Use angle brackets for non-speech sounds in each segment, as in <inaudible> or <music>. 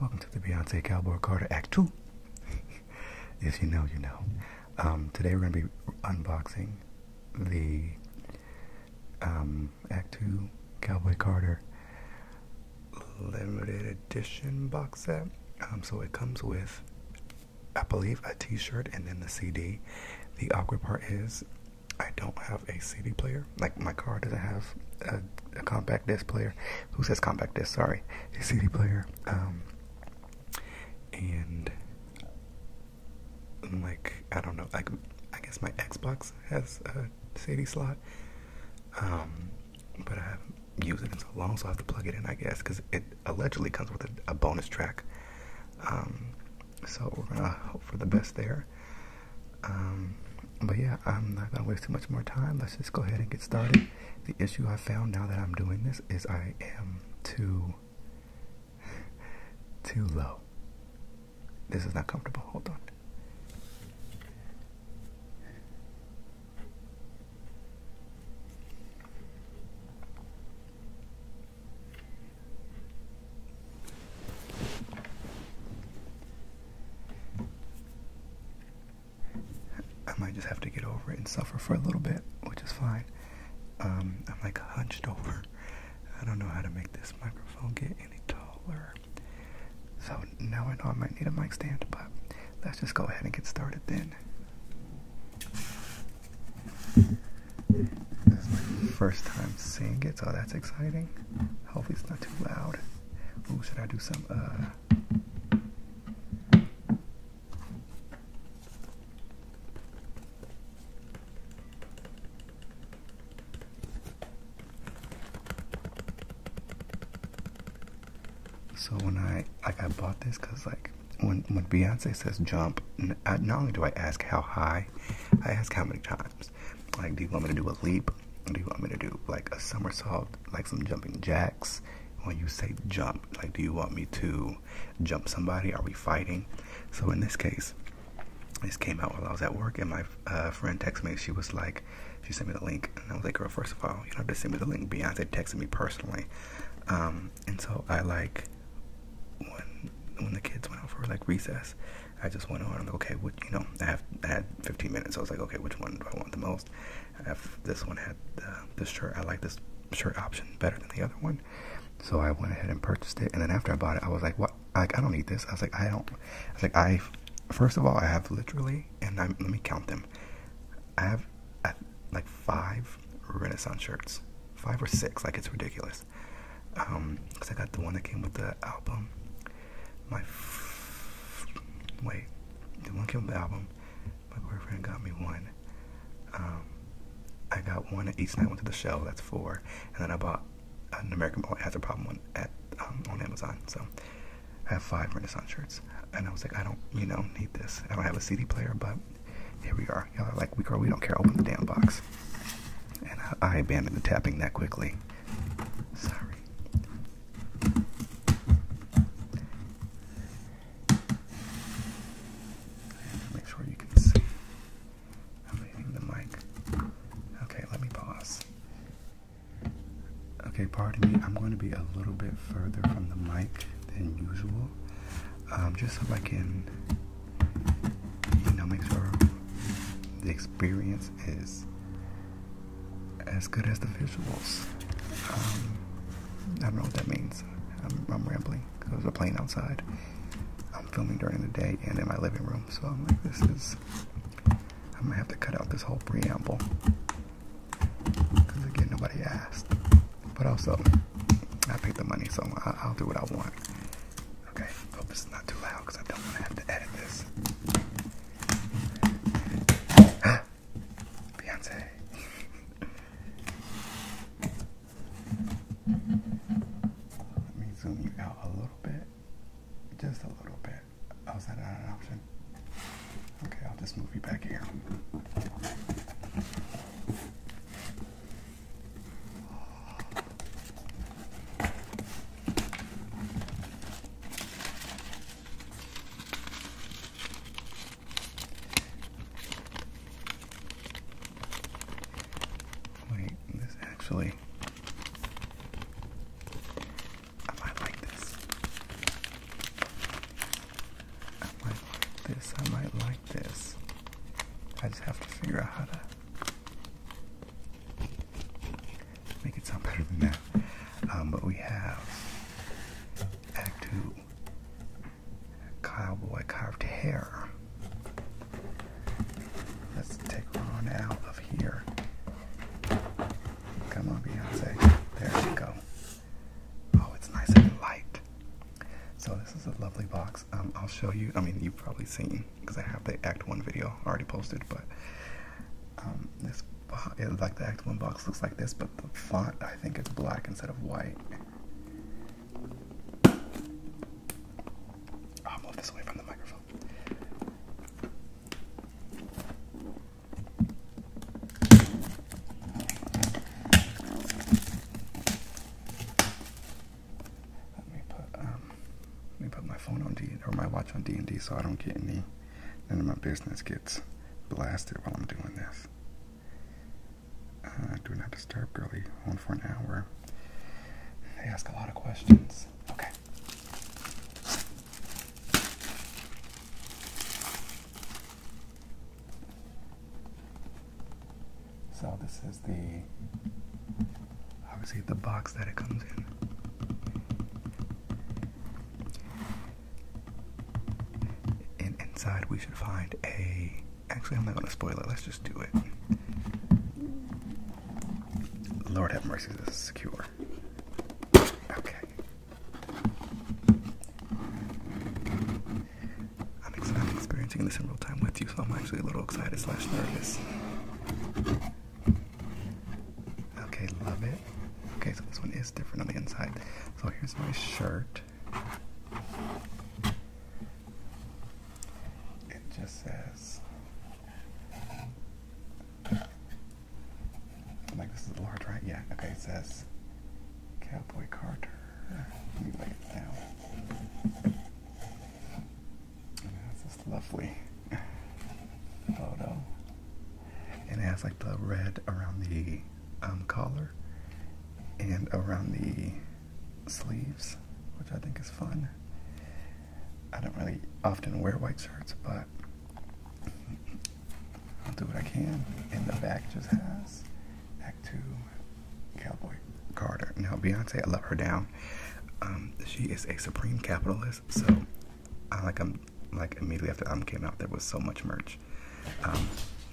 Welcome to the Beyonce Cowboy Carter Act 2. if <laughs> you know, you know. Um, today we're going to be unboxing the um, Act 2 Cowboy Carter limited edition box set. Um, so it comes with, I believe, a t shirt and then the CD. The awkward part is, I don't have a CD player like my car doesn't have a, compact disc player. Who says compact disc? Sorry, a CD player. Um, and like I don't know, like I guess my Xbox has a CD slot, um, but I haven't used it in so long, so I have to plug it in, I guess, because it allegedly comes with a, bonus track. Um, so we're gonna hope for the best there. Um, but yeah, I'm not gonna waste too much more time. Let's just go ahead and get started. The issue I found now that I'm doing this is I am too <laughs> too low. This is not comfortable. Hold on. I might just have to get over it and suffer for a little bit, which is fine. Um, I'm like hunched <laughs> over. I don't know how to make this microphone get any taller. So now I know I might need a mic stand, but let's just go ahead and get started then. This is my first time seeing it, so that's exciting. Hopefully it's not too loud. Oh, should I do some uh So when I like I bought this cuz like when when Beyonce says jump, not only do I ask how high, I ask how many times. Like, do you want me to do a leap? Do you want me to do like a somersault, like some jumping jacks? When you say jump, like, do you want me to jump somebody? Are we fighting? So, in this case, this came out while I was at work, and my uh, friend texted me. She was like, she sent me the link, and I was like, girl, first of all, you don't have to send me the link. Beyonce texted me personally, um, and so I like when when the kids went out for like recess, I just went on. okay, what you know? I, have, I had 15 minutes. I was like, okay, which one do I want the most? If this one had uh, this shirt, I like this shirt option better than the other one. So I went ahead and purchased it. And then after I bought it, I was like, what? Like, I don't need this. I was like, I don't. I was like, I. First of all, I have literally, and let me count them. I have like five Renaissance shirts, five or six. Like it's ridiculous. Um, cause I got the one that came with the album. My f wait, the one came with the album. My girlfriend got me one. Um, I got one each night. Went to the show. That's four. And then I bought an American Boy Has a Problem one at um, on Amazon. So I have five Renaissance shirts. And I was like, I don't, you know, need this. I don't have a CD player, but here we are. Y'all are like, we girl, we don't care. Open the damn box. And I abandoned the tapping that quickly. Sorry. Make sure you can see. I'm leaving the mic. Okay, let me pause. Okay, pardon me. I'm going to be a little bit further from the mic than usual, um, just so I can, you know, make sure the experience is as good as the visuals. Um, I don't know what that means. I'm, rambling because there's a plane outside. I'm filming during the day and in my living room, so I'm like, this is. I'm gonna have to cut out this whole preamble because again, nobody asked. But also, I paid the money, so I'll do what I want. Okay, hope this is not too loud because I don't want to have to edit this. <gasps> Beyonce. Let me zoom you out a little bit. Just a little bit. Oh, that not an option? Okay, I'll just move you back here. Wait, this actually. I might like this. I might like this. I might like this. I just have to figure out how to Make it sound better than that. Um, but we have Act 2 Cowboy Carved Hair. Let's take Ron out of here. Come on, Beyonce. There we go. Oh, it's nice and light. So, this is a lovely box. Um, I'll show you. I mean, you've probably seen because I have the Act One video already posted. But um, this like the Act One box looks like this, but the font I think is black instead of white. i move this away from the microphone. Let me put um, let me put my phone on D or my watch on D and D so I don't get any none of my business gets blasted while I'm doing this. Uh, do not disturb, girly. On for an hour. They ask a lot of questions. Okay. So this is the obviously the box that it comes in. And inside we should find a actually I'm not gonna spoil it, let's just do it. Lord have mercy, this is secure. Okay. I'm, experiencing this in real time with you, so I'm actually a little excited slash nervous. Okay, love it. Okay, so this one is different on the inside. So here's my shirt. It just says like this is large, right? Yeah. Okay, it says Cowboy Carter. Let lay it down. That's this lovely photo. And it has like the red around the um, collar and around the sleeves, which I think is fun. I don't really often wear white shirts, but I'll do what I can. And the back just has back to Cowboy Carter. Now Beyonce, I love her down. Um, she is a supreme capitalist, so I like I'm like immediately after I'm came out there was so much merch. Um,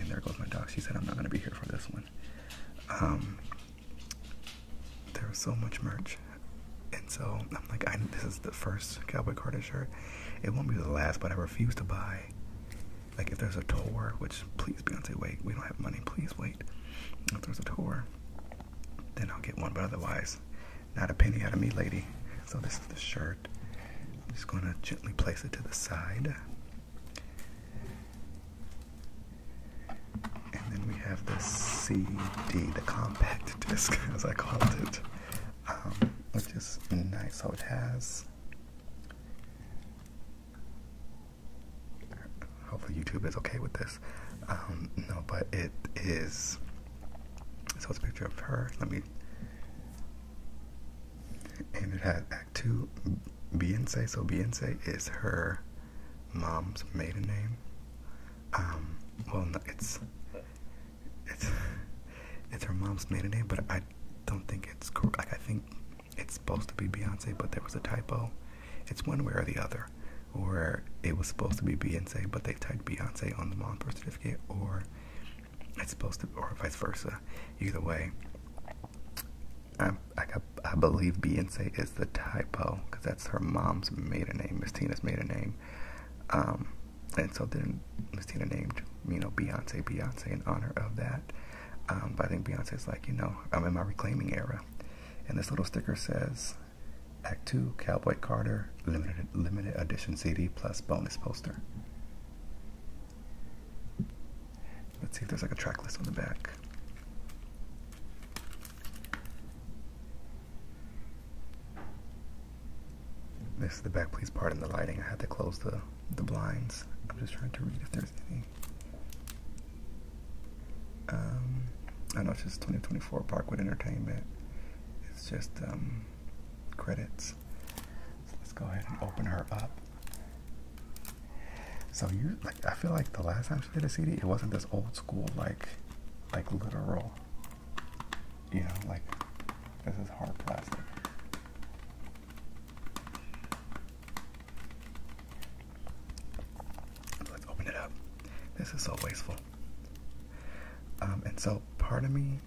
and there goes my dog. She said I'm not gonna be here for this one. Um, there was so much merch, and so I'm like, this is the first Cowboy Carter shirt. It won't be the last, but I refuse to buy. Like if there's a tour, which please Beyonce wait, we don't have money. Please wait. If there's a tour, then I'll get one. But otherwise, not a penny out of me, lady. So this is the shirt. I'm just gonna gently place it to the side. And then we have the CD, the compact <laughs> disc, as I call it, um, which is nice. So it has hopefully YouTube is okay with this. Um, no, but it is. So it's a picture of her. Let me. And it had Act Two, Beyonce. So Beyonce is her mom's maiden name. Um, well, it's it's it's her mom's maiden name, but I don't think it's correct. I think it's supposed to be Beyonce, but there was a typo. It's one way or the other or it was supposed to be Beyonce, but they typed Beyonce on the mom birth certificate, or it's supposed to, or vice versa. Either way, I believe Beyonce is the typo because that's her mom's maiden name, Miss Tina's maiden name. Um, and so then Miss Tina named you know Beyonce Beyonce in honor of that. Um, but I think Beyonce is like you know I'm in my reclaiming era. And this little sticker says Act 2 Cowboy Carter limited limited edition CD plus bonus poster. Let's see if there's like a track list on the back. This is the back, please pardon the lighting. I had to close the, the blinds. I'm just trying to read if there's any um, I know it's just 2024 Parkwood Entertainment. It's just um, credits. So let's go ahead and open her up. So you I feel like the last time she did a CD, it wasn't this old school like like literal. You know, like this is hard plastic let's open it up. This is so wasteful. Um, and so, part of me,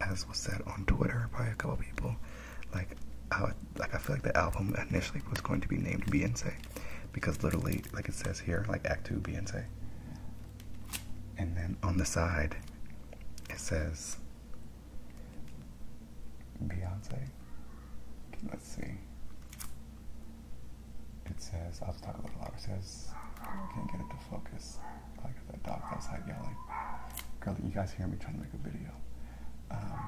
as was said on Twitter by a couple people, like, I, like I feel like the album initially was going to be named Beyonce, because literally, like it says here, like Act Two Beyonce, and then on the side, it says Beyonce, let's see. It says, I'll talk a little louder. It says, I can't get it to focus. I got that dog outside yelling. Girl, you guys hear me trying to make a video. Um,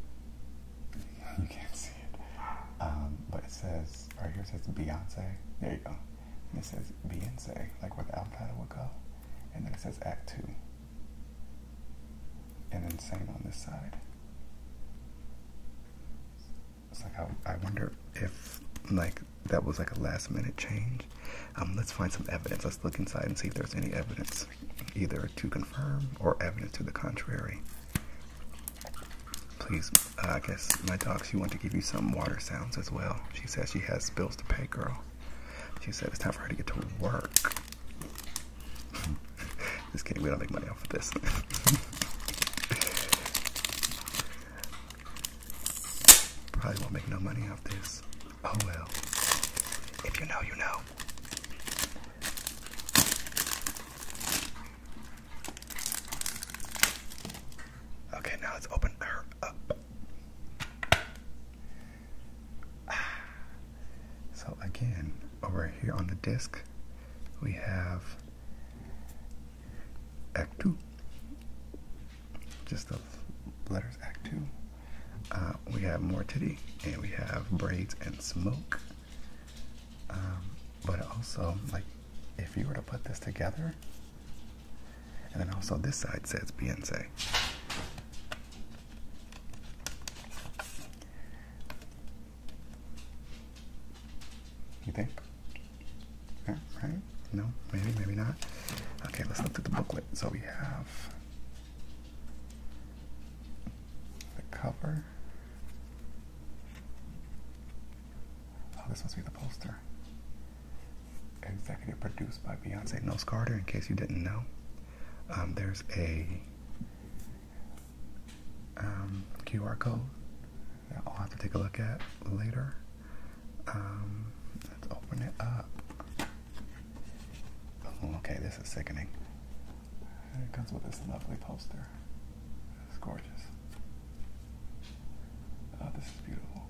<laughs> you can't see it. Um, but it says, right here it says Beyonce. There you go. it says Beyonce, like where the would go. And then it says Act 2 and then same on this side. It's I, wonder if like that was like a last minute change. Um, let's find some evidence. Let's look inside and see if there's any evidence, either to confirm or evidence to the contrary. Please, uh, I guess my dog, she wants to give you some water sounds as well. She says she has bills to pay, girl. She said it's time for her to get to work. <laughs> Just kidding, we don't make money off of this. <laughs> Probably won't make no money off this. Oh well. If you know, you know. Okay, now let's open her up. <sighs> So again, over here on the disc, we have Act 2. Just the letters Act 2. Uh, we have more titty, and we have braids and smoke. Um, but also, like, if you were to put this together, and then also this side says Beyonce. You think? Yeah, right? No? Maybe, maybe not. Okay, let's look through the booklet. So we have the cover. Oh, this must be the poster. Executive produced by Beyonce No Carter, in case you didn't know. Um, there's a um, QR code that I'll have to take a look at later. Um, let's open it up. Oh, okay, this is sickening. comes with this lovely poster. It's gorgeous. Oh, this is beautiful.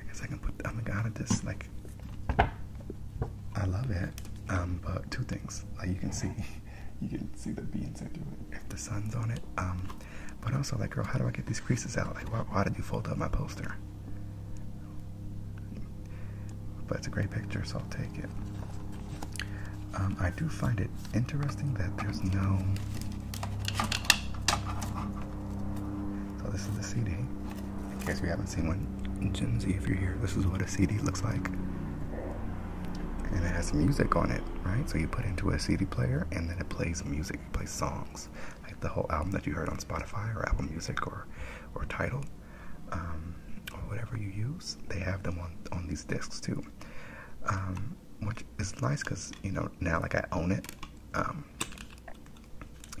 I guess I can put. I'm gonna just like I love it, um, but two things. Like you can see, <laughs> you can see the beans through it if the sun's on it. Um, but also, like, girl, how do I get these creases out? Like, why, did you fold up my poster? But it's a great picture, so I'll take it. Um, I do find it interesting that there's no. So this is the CD. In case you haven't seen one, Gen Z, if you're here, this is what a CD looks like. And it has music on it, right? So you put into a CD player and then it plays music, it plays songs. Like the whole album that you heard on Spotify or Apple Music or, or Tidal. Um, or whatever you use, they have them on, on these discs too. Um, which is nice because, you know, now like I own it. Um,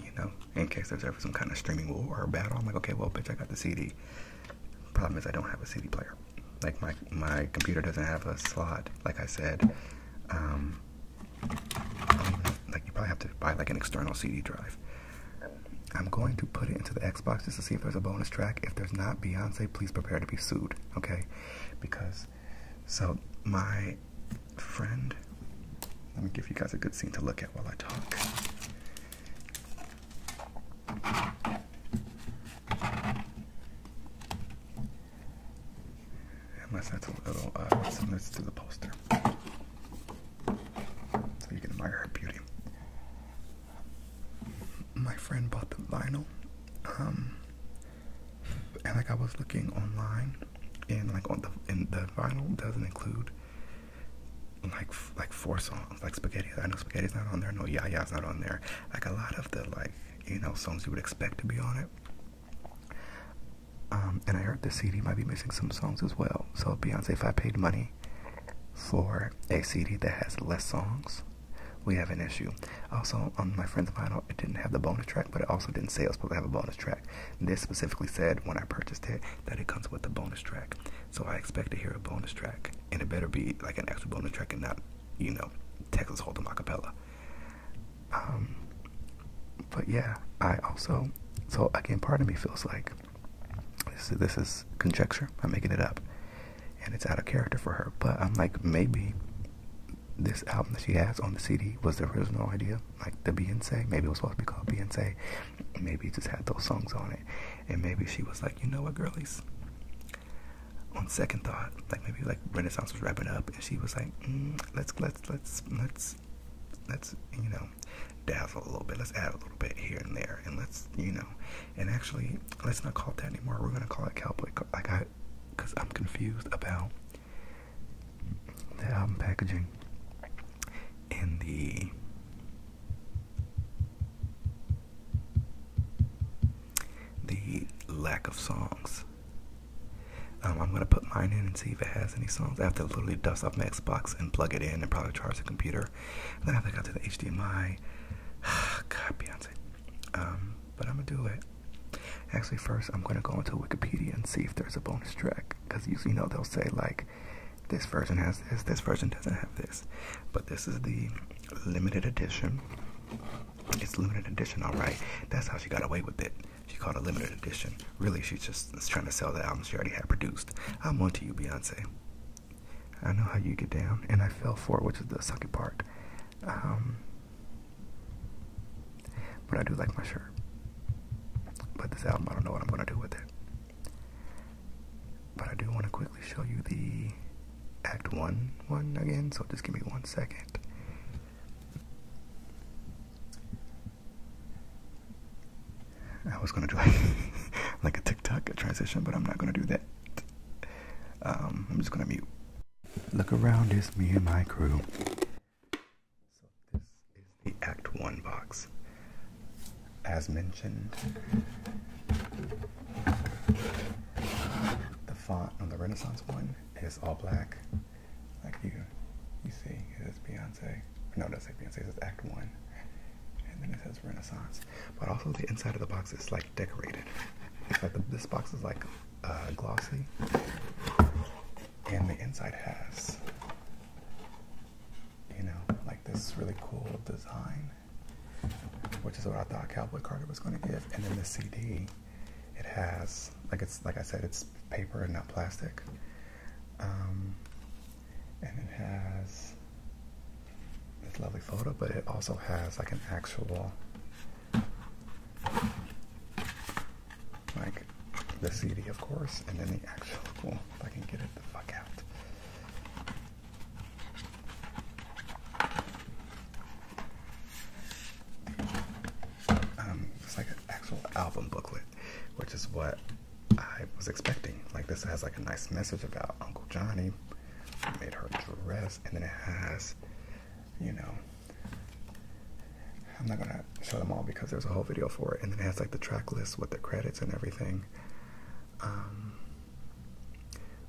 you know, in case there's ever some kind of streaming war or battle. I'm like, okay, well, bitch, I got the CD. Problem is, I don't have a CD player. Like my my computer doesn't have a slot. Like I said, um, like you probably have to buy like an external CD drive. I'm going to put it into the Xbox just to see if there's a bonus track. If there's not, Beyonce, please prepare to be sued, okay? Because so my friend let me give you guys a good scene to look at while I talk. Unless that's a little uh, similar to the poster. So you can admire her beauty. My friend bought the vinyl. Um, and like I was looking online, and like on and the vinyl doesn't include like like four songs, like Spaghetti. I know Spaghetti's not on there. No, Ya Ya's not on there. Like a lot of the like you know songs you would expect to be on it. Um, and I heard the CD might be missing some songs as well. So Beyonce, if I paid money for a CD that has less songs, we have an issue. Also, on my friend's vinyl, it didn't have the bonus track, but it also didn't say it was supposed to have a bonus track. This specifically said when I purchased it that it comes with a bonus track. So I expect to hear a bonus track, and it better be like an extra bonus track and not, you know, Texas Hold'em acapella. Um, but yeah, I also so again, part of me feels like this is, this is conjecture. I'm making it up, and it's out of character for her. But I'm like, maybe this album that she has on the CD was the original idea, like the Beyonce. Maybe it was supposed to be called Beyonce, Maybe it just had those songs on it. And maybe she was like, you know what, girlies? On second thought, like maybe like Renaissance was wrapping up, and she was like, mm, let's let's let's let's let's you know dazzle a little bit. Let's add a little bit here and there, and let's you know, and actually let's not call it that anymore. We're gonna call it cowboy. Like I, cause I'm confused about the album packaging and the the lack of songs. Um, I'm gonna put mine in and see if it has any songs. I have to literally dust off my Xbox and plug it in and probably charge the computer. then I have to go to the HDMI. <sighs> God, Beyonce. Um, but I'm gonna do it. Actually, first I'm gonna go into Wikipedia and see if there's a bonus track because usually you know they'll say like this version has this, this version doesn't have this. But this is the limited edition. It's limited edition, alright. That's how she got away with it. She called it limited edition. Really, she's just trying to sell the album she already had produced. I'm on to you, Beyonce. I know how you get down, and I fell for it, which is the sucky part. Um, but I do like my shirt. But this album, I don't know what I'm going to do with it. But I do want to quickly show you the Act 1 one again, so just give me one second. I was going to do <laughs> like, a TikTok a transition, but I'm not going to do that. Um, I'm just going to mute. Look around, it's me and my crew. So this is the Act 1 box. As mentioned, the font on the Renaissance one is all black. Like you you see, it says Beyonce. No, it doesn't say Beyonce, it says Act 1. And then it says Renaissance. But also the inside of the box is like decorated. this box is like uh, glossy. And the inside has you know, like this really cool design, which is what I thought Cowboy Carter was going to give. And then the CD, it has like it's like I said, it's paper and not plastic, um, and it has this lovely photo, but it also has like an actual like the CD, of course, and then the actual. if I can get it the fuck out. Um, it's like an actual album booklet, which is what I was expecting. Like this has like a nice message about Uncle Johnny. Made her dress, and then it has, you know, I'm not gonna show them all because there's a whole video for it, and it has like the track list with the credits and everything, um,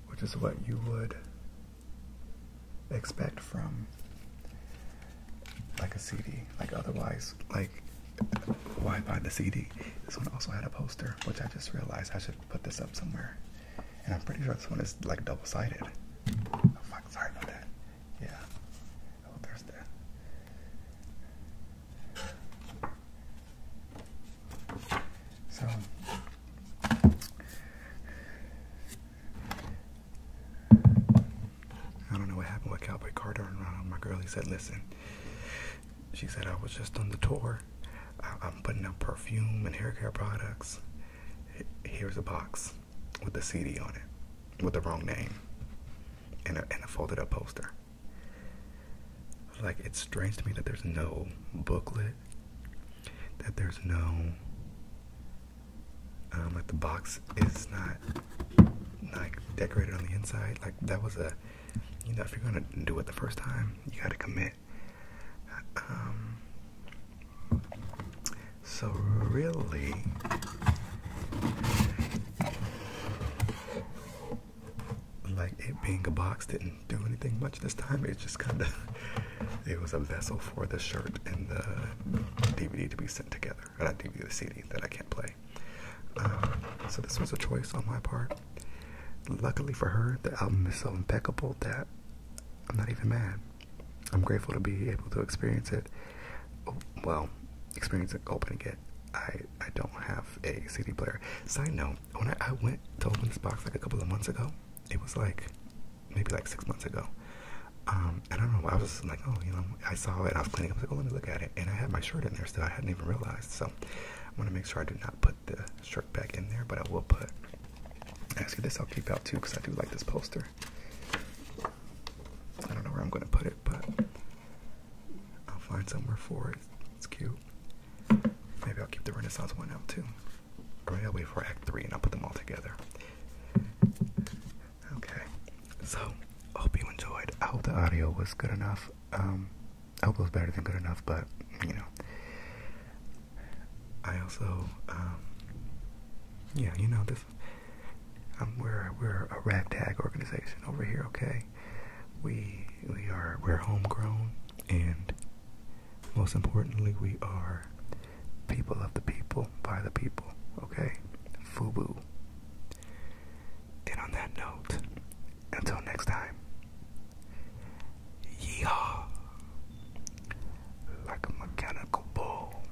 which is what you would expect from like a CD. Like otherwise, like why buy the CD? This one also had a poster, which I just realized I should put this up somewhere, and I'm pretty sure this one is like double sided. Oh fuck! Sorry about that. Yeah. Oh, there's the so I don't know what happened with Cowboy Carter and around. My girl, he said, listen. She said, I was just on the tour. I, I'm putting out perfume and hair care products. Here's a box with the CD on it with the wrong name and a, folded up poster. Like, it's strange to me that there's no booklet, that there's no. Um, like the box is not like decorated on the inside. Like that was a, you know, if you're gonna do it the first time, you gotta commit. Um, so, really, like it being a box didn't do anything much this time. It just kind of <laughs> it was a vessel for the shirt and the DVD to be sent together, or not DVD, the CD that I can't play. Um, so this was a choice on my part. Luckily for her, the album is so impeccable that I'm not even mad. I'm grateful to be able to experience it well, experience experiencing opening it, I I don't have a CD player. Side note, when I, went to open this box like a couple of months ago, it was like maybe like six months ago. Um, I don't know, I was like, oh, you know, I saw it, I was cleaning, I was like, oh, let me look at it. And I had my shirt in there still, I hadn't even realized. So I want to make sure I do not put the shirt back in there, but I will put, actually, this I'll keep out too, because I do like this poster. I don't know where I'm going to put it but I'll find somewhere for it. It's cute. Maybe I'll keep the Renaissance one out too. Or I'll wait for Act 3 and I'll put them all together. Okay, so hope you enjoyed. I hope the audio was good enough. Um, I hope it was better than good enough, but you know. I also, um, yeah, you know, this we're we're a ragtag organization over here, okay? We we are we're homegrown, and most importantly, we are people of the people by the people, okay? Fubu. And on that note, until next time, yeehaw, like a mechanical bull.